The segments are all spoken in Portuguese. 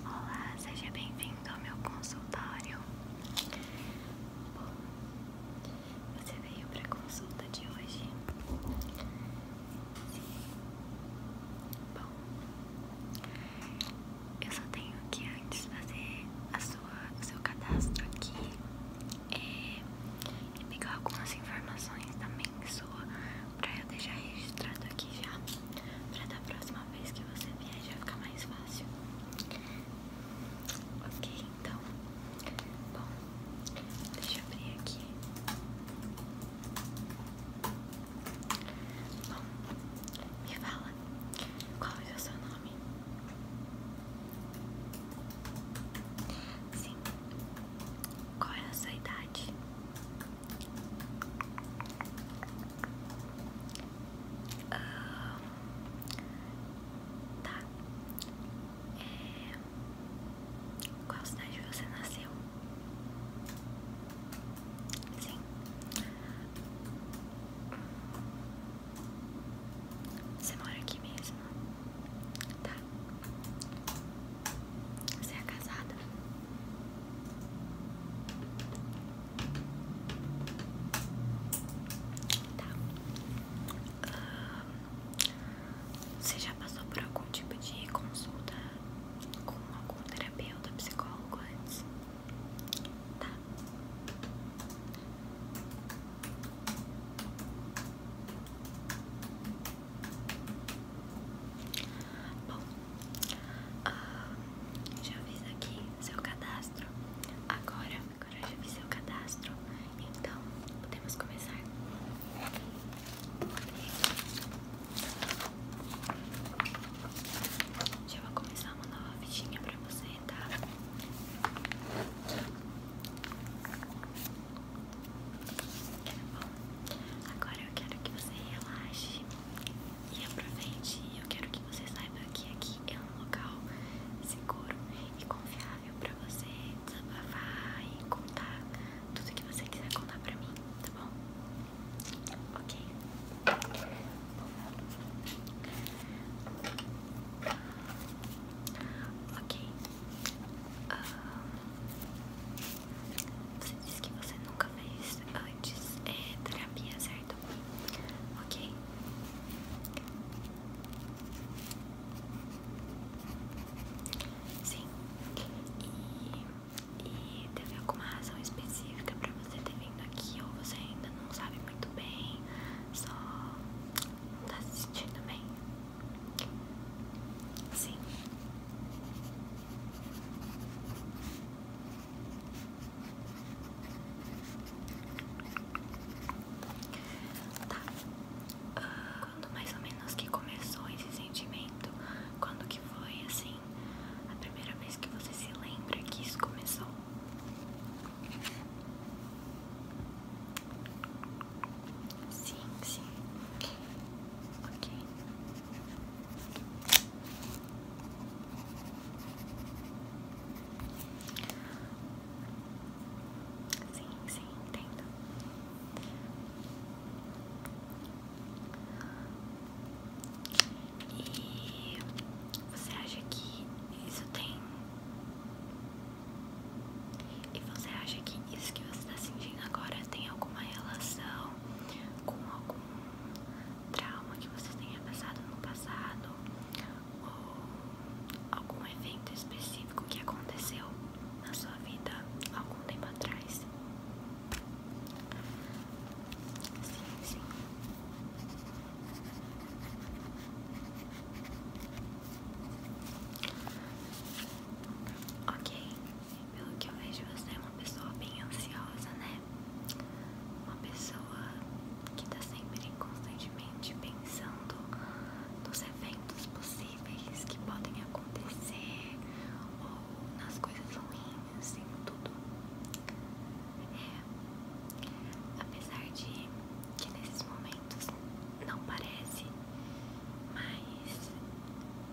Olá, seja bem-vindo ao meu consultório. Bom, você veio para consulta de hoje? Sim. Bom, eu só tenho que antes fazer a sua, o seu cadastro aqui. É, e pegar algumas informações também sua pra eu deixar registrado aqui já pra da próxima vez que você vier já ficar mais fácil ok então bom deixa eu abrir aqui bom me fala qual é o seu nome Sim. Qual é a sua idade? Ah, tá. É... Qual cidade você nasceu? Sim. Você mora aqui mesmo? Tá? Você é casada? Tá. Você já passou por algum tipo de consulta com algum terapeuta, psicólogo antes? Tá. Bom, já fiz aqui seu cadastro. Agora, agora já fiz seu cadastro. Então, podemos começar. Já vou começar uma nova fichinha pra você, tá? Bom, agora eu quero que você relaxe e aproveite. Eu quero que você saiba que aqui é um local seguro e confiável para você desabafar e contar tudo que você quiser contar para mim, tá bom? Ok. Ok. Ah, você disse que você nunca fez antes é, terapia, certo? Ok. Sim. E, teve alguma razão específica pra você ter vindo aqui ou você ainda não sabe muito bem? Só não tá se sentindo bem? Sim. Tá. Ah, quando mais ou menos que começou esse sentimento? Quando que foi assim? A primeira vez que você se lembra que isso começou? Sim, sim. Ok. Sim, sim, entendo. E você acha que isso tem e você acha que isso que você está sentindo agora tem alguma relação com algum trauma que você tenha passado no passado? Ou algum evento específico que aconteceu na sua vida algum tempo atrás? Sim, sim. Ok, pelo que eu vejo, você é uma pessoa bem ansiosa, né? Uma pessoa que tá sempre constantemente pensando nos eventos possíveis que podem acontecer ou nas coisas ruins, em tudo. É, apesar de que nesses momentos não parece mas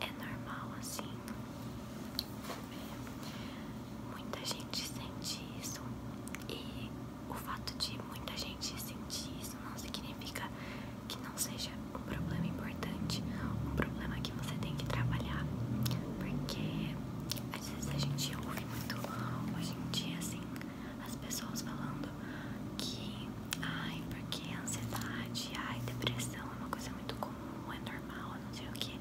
é normal assim. Muita gente sente isso e o fato de muita gente sentir isso não significa que não seja um problema importante, um problema que você tem que trabalhar, porque às vezes a gente ouve muito hoje em dia assim as pessoas falando que, ai, porque ansiedade, ai, depressão é uma coisa muito comum, é normal, não sei o que.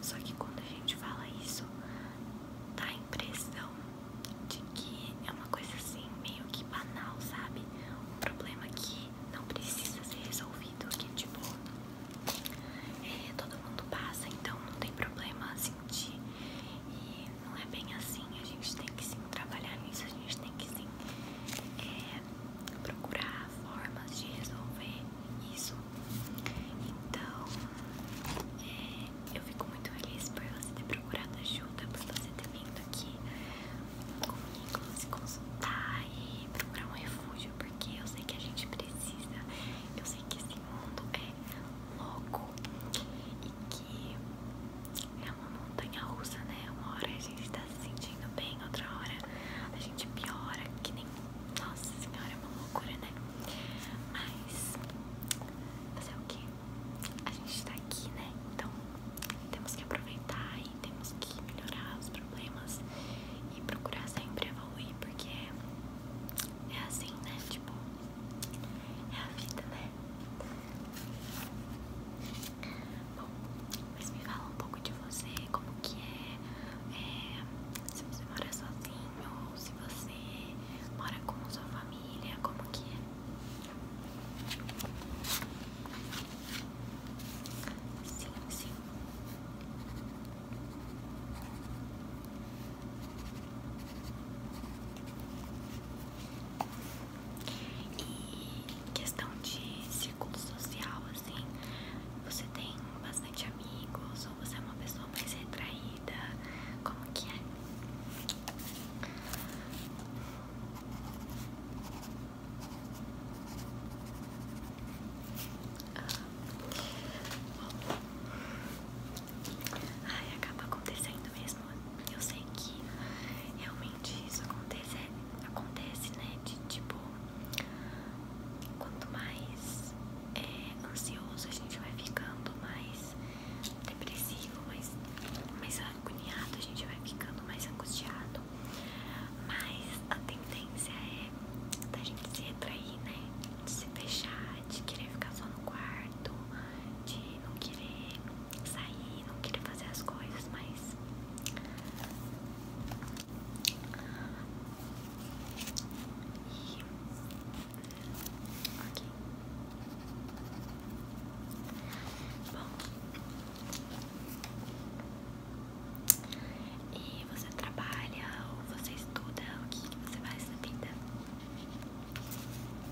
Só que quando a gente fala isso, dá a impressão de que é uma coisa assim, meio que banal, sabe? Um problema que não precisa ser resolvido, que tipo, é, todo mundo passa, então não tem problema sentir. E não é bem assim, a gente tem que sim trabalhar nisso, a gente tem que sim é, procurar formas de resolver isso. Então, é, eu fico muito feliz por você ter procurado ajuda, por você ter vindo aqui comigo se consultar e procurar um refúgio, porque eu sei que a gente precisa, eu sei que esse mundo é louco e é uma montanha russa, né? Uma hora a gente tá se sentindo bem, outra hora a gente piora, que nem. Nossa senhora, é uma loucura, né? Mas. Fazer é o quê? A gente tá aqui, né? Então temos que aproveitar e temos que melhorar os problemas e procurar sempre evoluir, porque é, é assim, né? Tipo, é a vida, né? Bom, mas me fala um pouco de você, como que é, é se você mora sozinho ou se você mora com sua família, como que é? Sim, sim. E questão de círculo social, assim, você tem bastante amigos ou você é uma pessoa mais retraída? Como que é? Ah, bom. Ai, acaba acontecendo mesmo. Eu sei que realmente isso acontece, acontece né? De tipo, quanto mais é, ansioso a gente vai ficando, mais depressivo, mais, mais agoniado a gente vai ficando, mais angustiado. Mas a tendência é da gente se retrair, né? De se fechar, de querer ficar só no quarto, de não querer sair, não queria fazer as coisas, mas e... ok. Bom. E você trabalha ou você estuda? O que você faz na vida?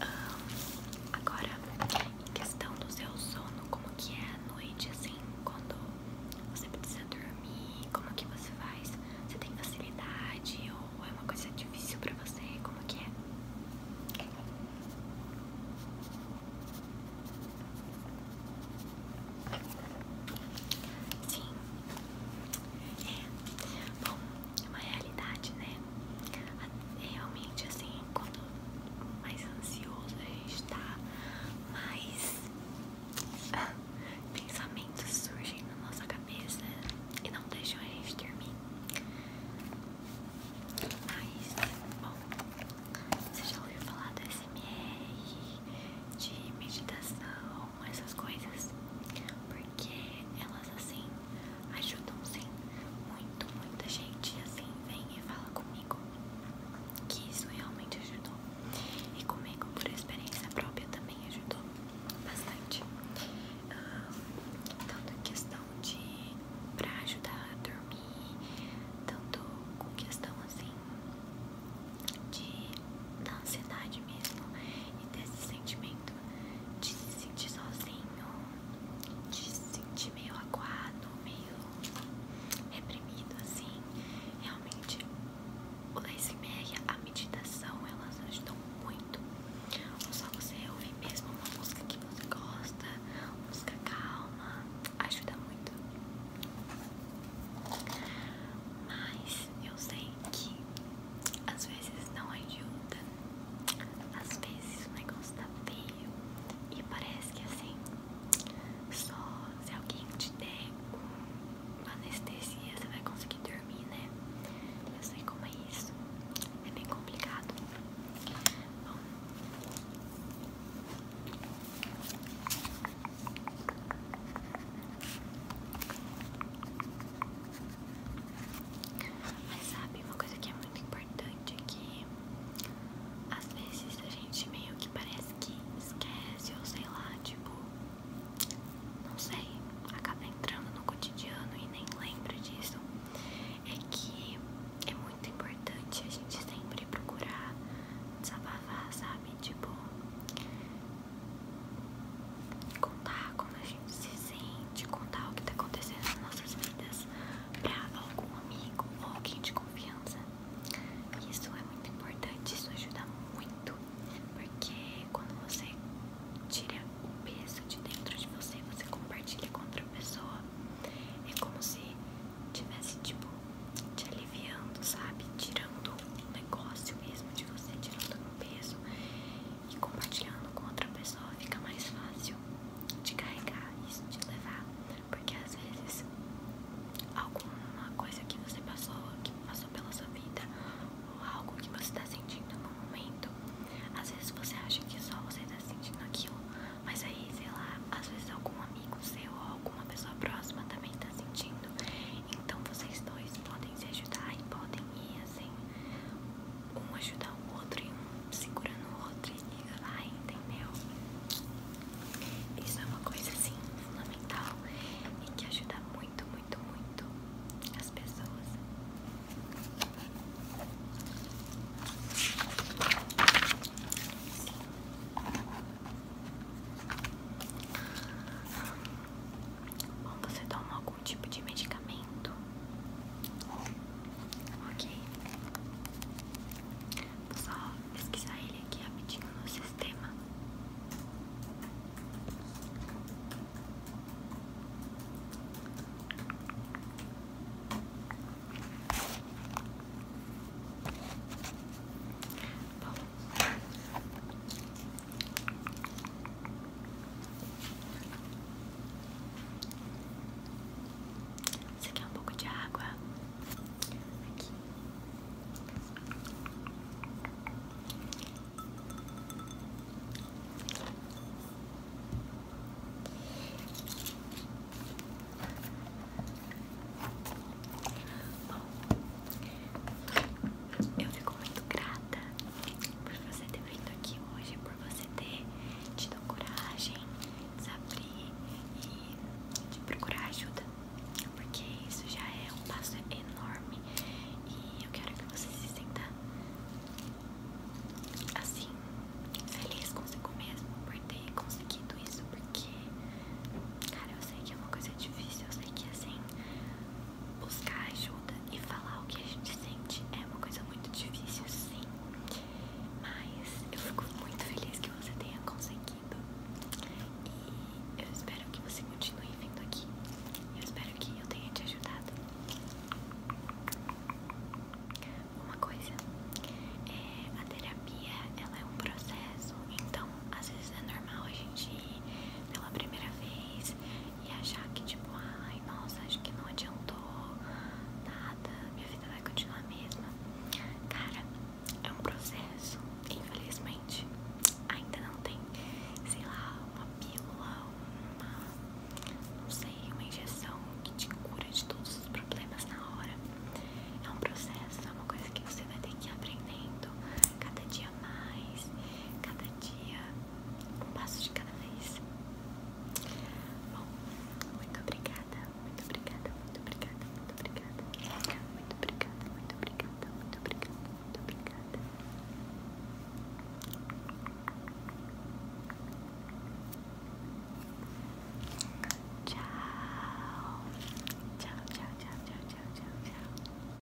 Ah, agora, em questão do seu sono, como que é a noite, assim, quando você precisa dormir, como que você faz? Você tem facilidade ou é uma coisa difícil pra você? Como que é? Sim. É. Bom, é uma realidade, né? É, realmente, assim, quando mais ansioso a gente tá, mais pensamentos surgem na nossa cabeça e não deixam a gente dormir. Mas, bom, você já ouviu falar do SMR, de meditação? com essas coisas porque elas assim ajudam sim muito, muita gente assim vem e fala comigo que isso realmente ajudou e comigo por experiência própria também ajudou bastante tanto em questão de pra ajudar a dormir tanto com questão assim de da ansiedade mesmo e desse sentimento de se sentir sozinho, de se sentir meio aguado, meio reprimido, assim. Realmente, o ASMR, a meditação, elas ajudam muito. só você ouvir mesmo uma música que você gosta, música calma, ajuda muito. Mas eu sei que às vezes não ajuda, às vezes o negócio tá feio e parece que assim, só se alguém te der anestesia você vai conseguir dormir, né? Eu sei como é isso, é bem complicado. Bom, mas sabe, uma coisa que é muito importante é que às vezes a gente meio que parece que esquece ou sei lá, tipo, não sei, acaba entrando no cotidiano e nem lembra disso. É que é muito importante a gente sempre procurar desabafar, sabe? Tipo, Contar como a gente se sente, contar o que tá acontecendo nas nossas vidas pra algum amigo ou alguém de confiança. Isso é muito importante, isso ajuda muito, porque quando você tira o peso de dentro de você, você compartilha com outra pessoa. É como se tivesse tipo te aliviando, sabe? Tirando o negócio mesmo de você tirando um peso e compartilhando com outra pessoa fica mais fácil de carregar isso, de levar, porque às vezes alguma coisa que você passou, que passou pela sua vida, ou algo que você está sentindo no momento, às vezes você acha que só você está sentindo aquilo, mas aí, sei lá, às vezes algum amigo seu ou alguma pessoa próxima também está sentindo então vocês dois podem se ajudar e podem ir assim, um ajudar o outro e um segurando o outro e vai, entendeu? Isso é uma coisa assim fundamental e que ajuda muito, muito, muito as pessoas. Bom, você toma algum tipo de medicamento? Ok. só pesquisar ele aqui rapidinho no sistema. Você quer é um pouco de água? Aqui. Eu fico muito grata por você ter vindo aqui hoje, por você ter tido coragem de se abrir e de procurar ajuda, porque isso já é um passo enorme e eu quero que você se sinta assim, feliz consigo mesmo por ter conseguido isso, porque, cara, eu sei que é uma coisa difícil, eu sei que assim buscar ajuda e falar o que a gente sente é uma coisa muito difícil, sim. Mas eu fico muito feliz que você tenha conseguido. E eu espero que você continue vindo aqui. Eu espero que eu tenha te ajudado. Uma coisa, é, a terapia ela é um processo, então às vezes é normal a gente ir pela primeira vez e achar que, tipo, ai, nossa, acho que não adiantou nada, minha vida vai continuar a mesma. Cara, é um processo, infelizmente, ainda não tem, sei lá, uma pílula, não sei, uma injeção que te cura de todos os problemas na hora. É um processo, é uma coisa que você vai ter que ir aprendendo cada dia mais, cada dia um passo de cada vez. Bom, muito obrigada, muito obrigada, muito obrigada, muito obrigada, muito obrigada, muito obrigada, muito obrigada, muito obrigada. Tchau, tchau, tchau, tchau, tchau, tchau, tchau.